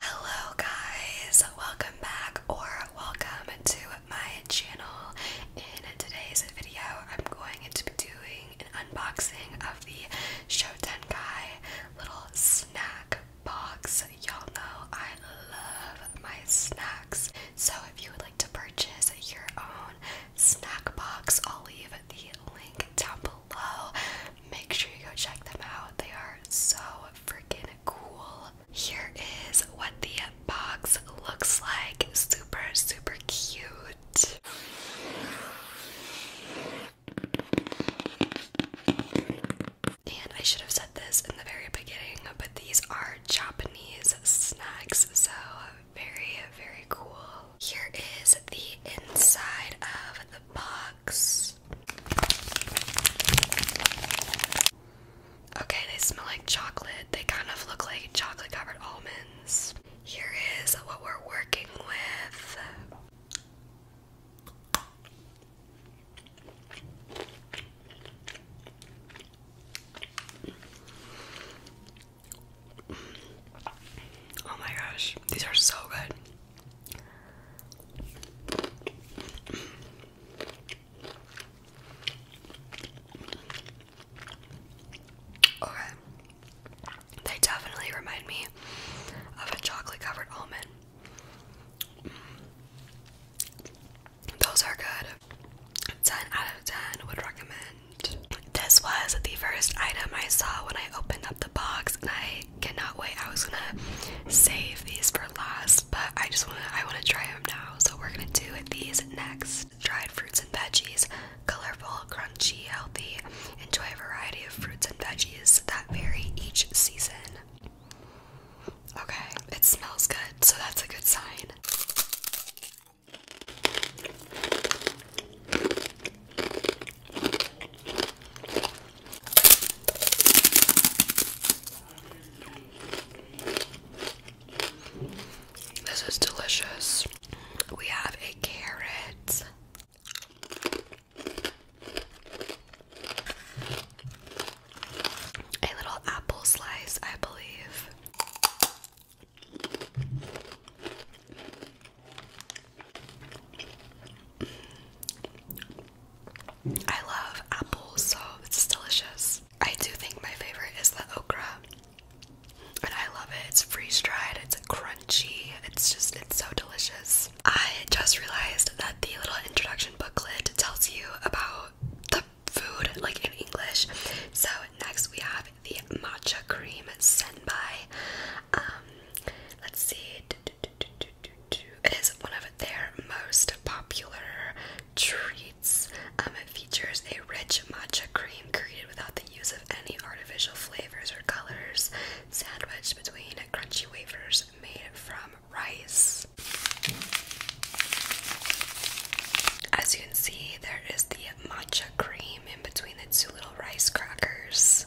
Hello guys, welcome back or welcome to my channel. In today's video, I'm going to be doing an unboxing of the Shotenkai little snack box. Y'all know I love my snacks. So if you would like to purchase your own snack box, I'll leave the link down below make sure you go check them out. They are so freaking cool. Here is what the box looks like. Super, super cute. And I should have said this in the very beginning, but these are Japanese snacks, so very, very cool. Here is the inside of the box. Okay, they smell like chocolate. They kind of look like chocolate covered almonds. Here is what we're working with. Oh my gosh, these are so good. Okay. They definitely remind me of a chocolate covered almond. Mm. Those are good. 10 out of 10 would recommend. This was the first item I saw when I opened up the box, and I cannot wait. I was gonna save these for last, but I just wanna I wanna try them now. So we're gonna do these next. Dried fruits and veggies, colorful, crunchy, healthy. Enjoy a variety of fruits and veggies that vary each season. Okay, it smells good, so that's a good sign. This is delicious. We have a carrot. A little apple slice, I believe. I love apples, so it's delicious. I do think my favorite is the okra. And I love it. It's freeze dried, it's crunchy, it's just, it's so delicious. I just realized that the little introduction booklet tells you about the food, like in English. So, next we have the matcha cream sent by. Um, Let's see. It is one of their most popular treats. Um, it features a rich matcha cream created without the use of any artificial flavors or colors, sandwiched between crunchy wafers made from rice. As you can see, there is the matcha cream in between the two little rice crackers.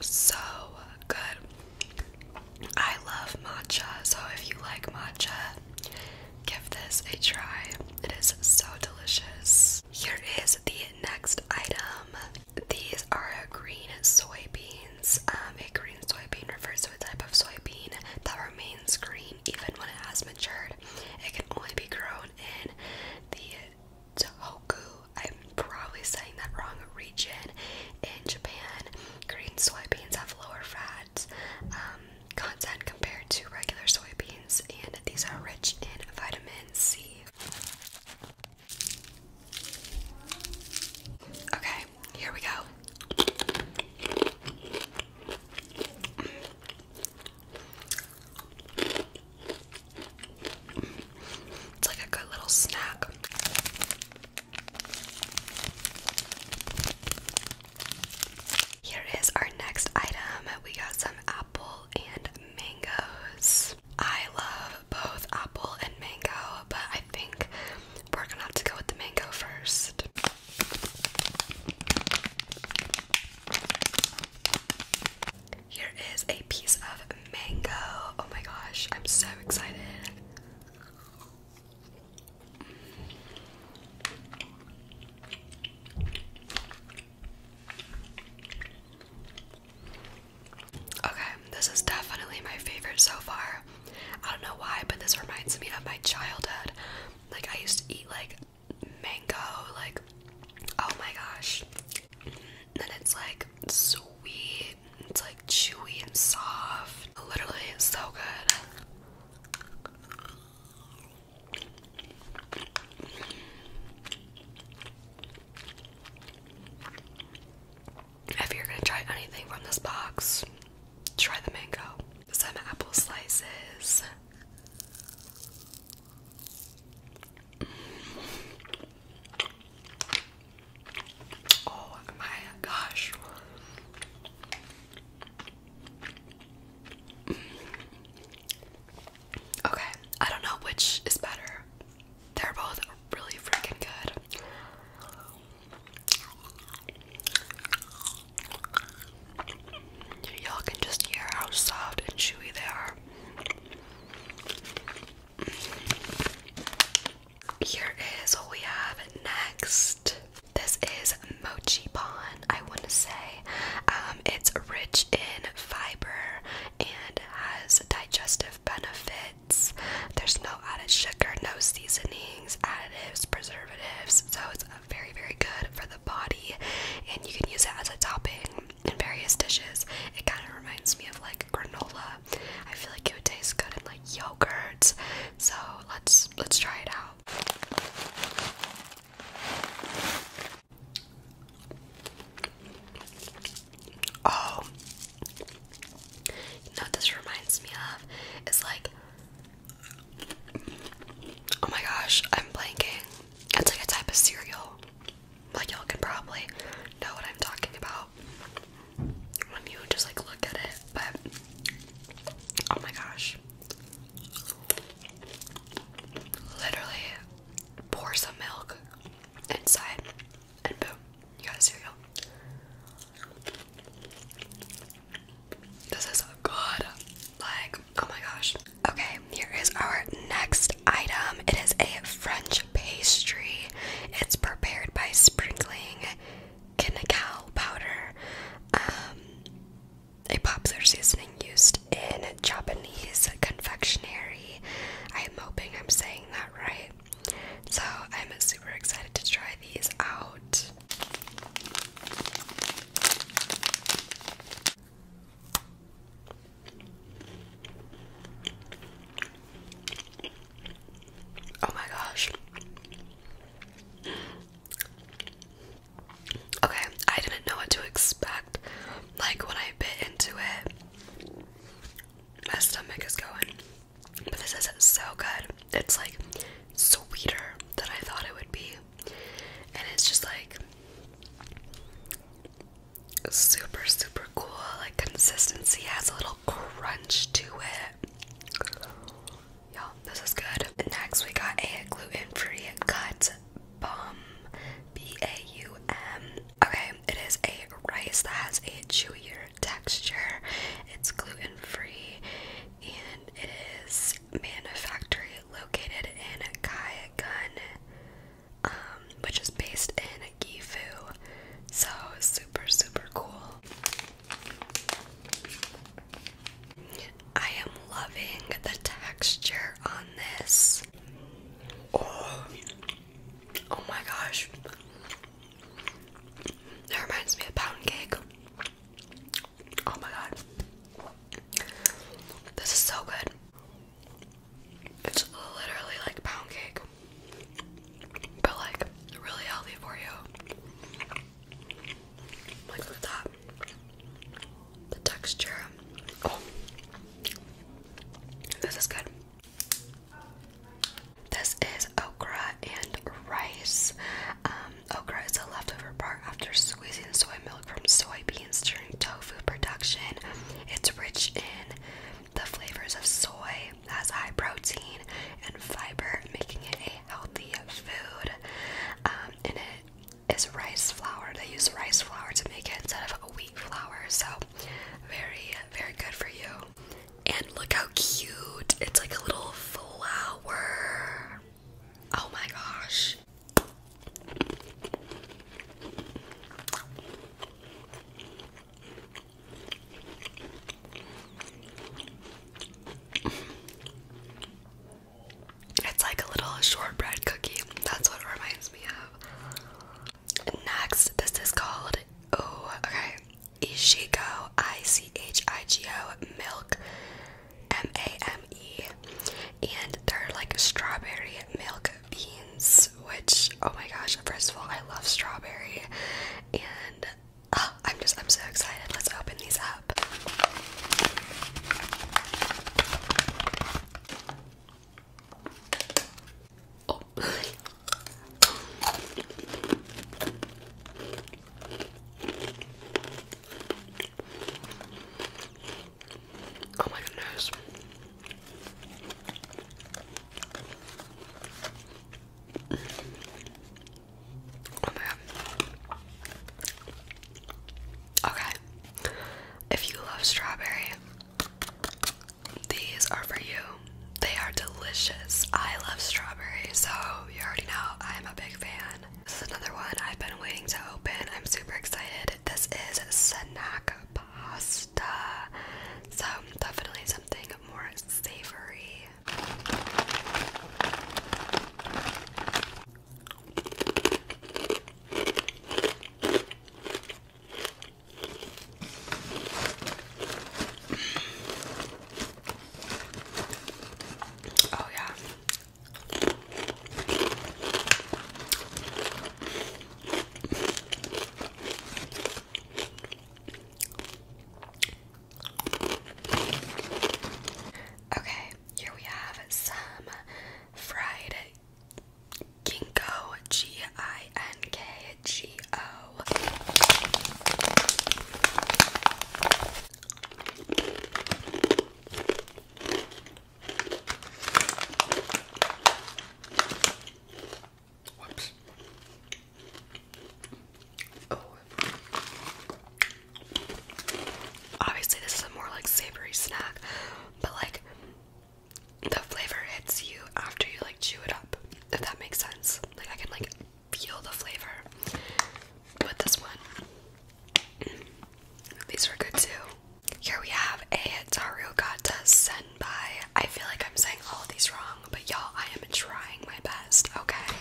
so good. I love matcha, so if you like matcha, give this a try. It is so delicious. Here is the next item. These are green soybeans. Um, a green soybean refers to a type of soybean that remains green even when it has matured. It can only be grown in the Tohoku I'm probably saying that wrong region in Japan. Green soybeans have lower fats um, content compared to regular soybeans, and these are rich in vitamin C. Okay, here we go. It's like a good little snack. Here is our next item. We got some apple and mangoes. I love both apple and mango, but I think we're gonna have to go with the mango first. Here is a piece of mango. Oh my gosh, I'm so excited. Okay, this is definitely my favorite so far. I don't know why, but this reminds me of my childhood. Like, I used to eat like mango, like, oh my gosh. Then it's like sweet it's like chewy and soft. Literally, so good. If you're gonna try anything from this box, try the mango. Some apple slices. Oh my gosh. Okay, I don't know which is better. They're both really freaking good. Y'all can just hear how soft and chewy they are. Here is what we have next. This is Mochi Bon, I want to say. Um, it's rich in fiber and has digestive benefits. There's no added sugar, no seasonings, additives, preservatives. So it's very, very good for the body, and you can use it as a topping in various dishes. It kind of reminds me of like granola. I feel like it would taste good in like yogurt. So let's let's try it out. Oh, know what this reminds me of? It's like, oh my gosh, I'm blanking. It's like a type of cereal. Like y'all can probably know what I'm talking about when you just like look at it, but oh my gosh. Literally pour some milk inside and boom, you got cereal. This is good. Like, oh my gosh. Okay, here is our next item. It is a French pastry. It's prepared by sprinkling cacao powder, um, a popular seasoning used in Japanese confectionery. I'm hoping I'm saying that right. So I'm super excited to try these out. Oh my gosh. Okay, I didn't know what to expect. Like when I bit into it, my stomach is going. But this is so good. It's like sweeter than I thought it would be. And it's just like super super cool like consistency has a little crunch to it you this is good next we got a gluten-free cut bum b-a-u-m okay it is a rice that has a chewier texture it's gluten-free and it is manufactured located in Kayagun, um, which is based in Gifu. So super, super cool. I am loving the texture on this. oh, oh my gosh. That reminds me of pound cake. Oh my god. This is so good. It's literally like pound cake, but like really healthy for you. look at that. The texture. Oh. this is good. This is okra and rice. Um, okra is the leftover part after squeezing soy milk from soybeans during tofu production. It's rich in the flavors of soy, has high protein and fiber, making it a healthy food. Um, and it is rice flour. They use rice flour to make it instead of wheat flour. So, very, very good for you. And look how cute! It's like a little flower. Oh my gosh. It's like a little shortbread cookie. That's what it reminds me of. Next, this is called oh okay, Ishiko I C H I G O milk M-A-M-E and they're like strawberry milk beans which oh my gosh first of all I love strawberry and ah, I'm just I'm so excited let's open these up oh. Oh my goodness. Oh my god. Okay. If you love strawberry, these are for you. They are delicious. I love strawberry, so you already know I'm a big fan. This is another one I've been waiting to open. I'm super excited. This is snack pasta. So, definitely something more savory. Oh, yeah, Okay, here we have some fried Ginko G I N K G O. Whoops. Oh. Obviously, this is a more like savory snack, but like the flavor hits you after you like chew it up. If that makes sense. Like I can like feel the flavor with this one. These were good too. Here we have a Tarugata Senpai. I feel like I'm saying all these wrong, but y'all, I am trying my best, okay?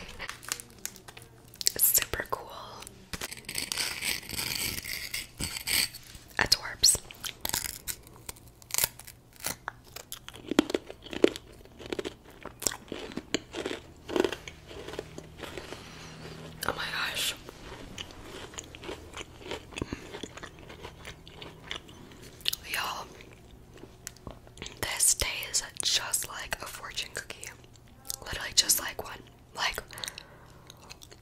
It's super cool. Adorbs. Oh my gosh. Y'all, this tastes just like a fortune cookie. Literally just like one. Like,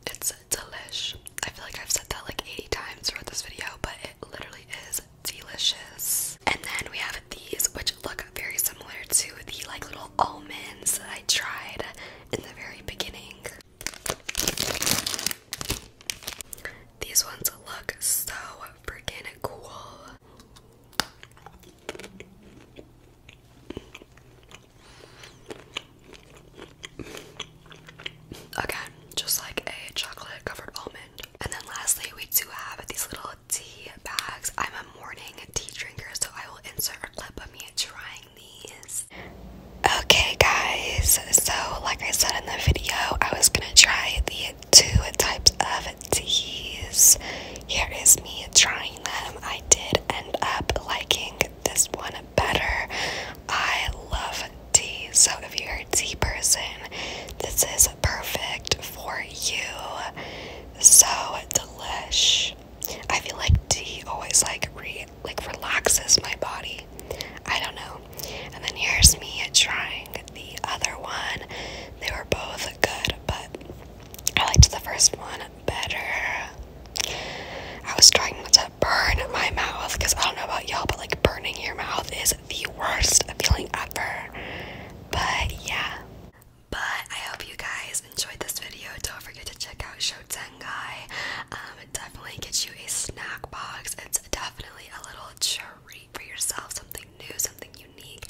it's delish. I feel like I've said that like 80 times throughout this video, but it literally is delicious. And then we have these, which look very similar to the like little almonds that I tried in the very beginning. These ones look so freaking cool. Again, just like a chocolate covered almond. And then lastly, we do have these little tea bags. I'm a morning tea drinker, so I will insert a clip of me trying these. Okay, guys, so like I said in the video, I was gonna try the two types of teas. Here is me trying them. I did end up liking this one better. I love tea, so if you're a tea person, this is perfect for you. So delish. I feel like tea always like re like relaxes my body. I don't know. And then here's me trying the other one. They were both good, but I liked the first one better. I was trying not to burn my mouth because I don't know about y'all, but like burning your mouth is the worst feeling ever. But yeah. But I hope you guys enjoyed this video. Don't forget to check out Shotengai. Um, it definitely gets you a snack box. It's definitely a little treat for yourself. Something new, something unique.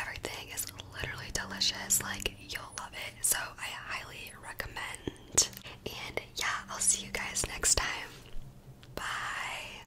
Everything is literally delicious. Like, you'll love it. So I highly recommend. And yeah, I'll see you guys next time. Bye.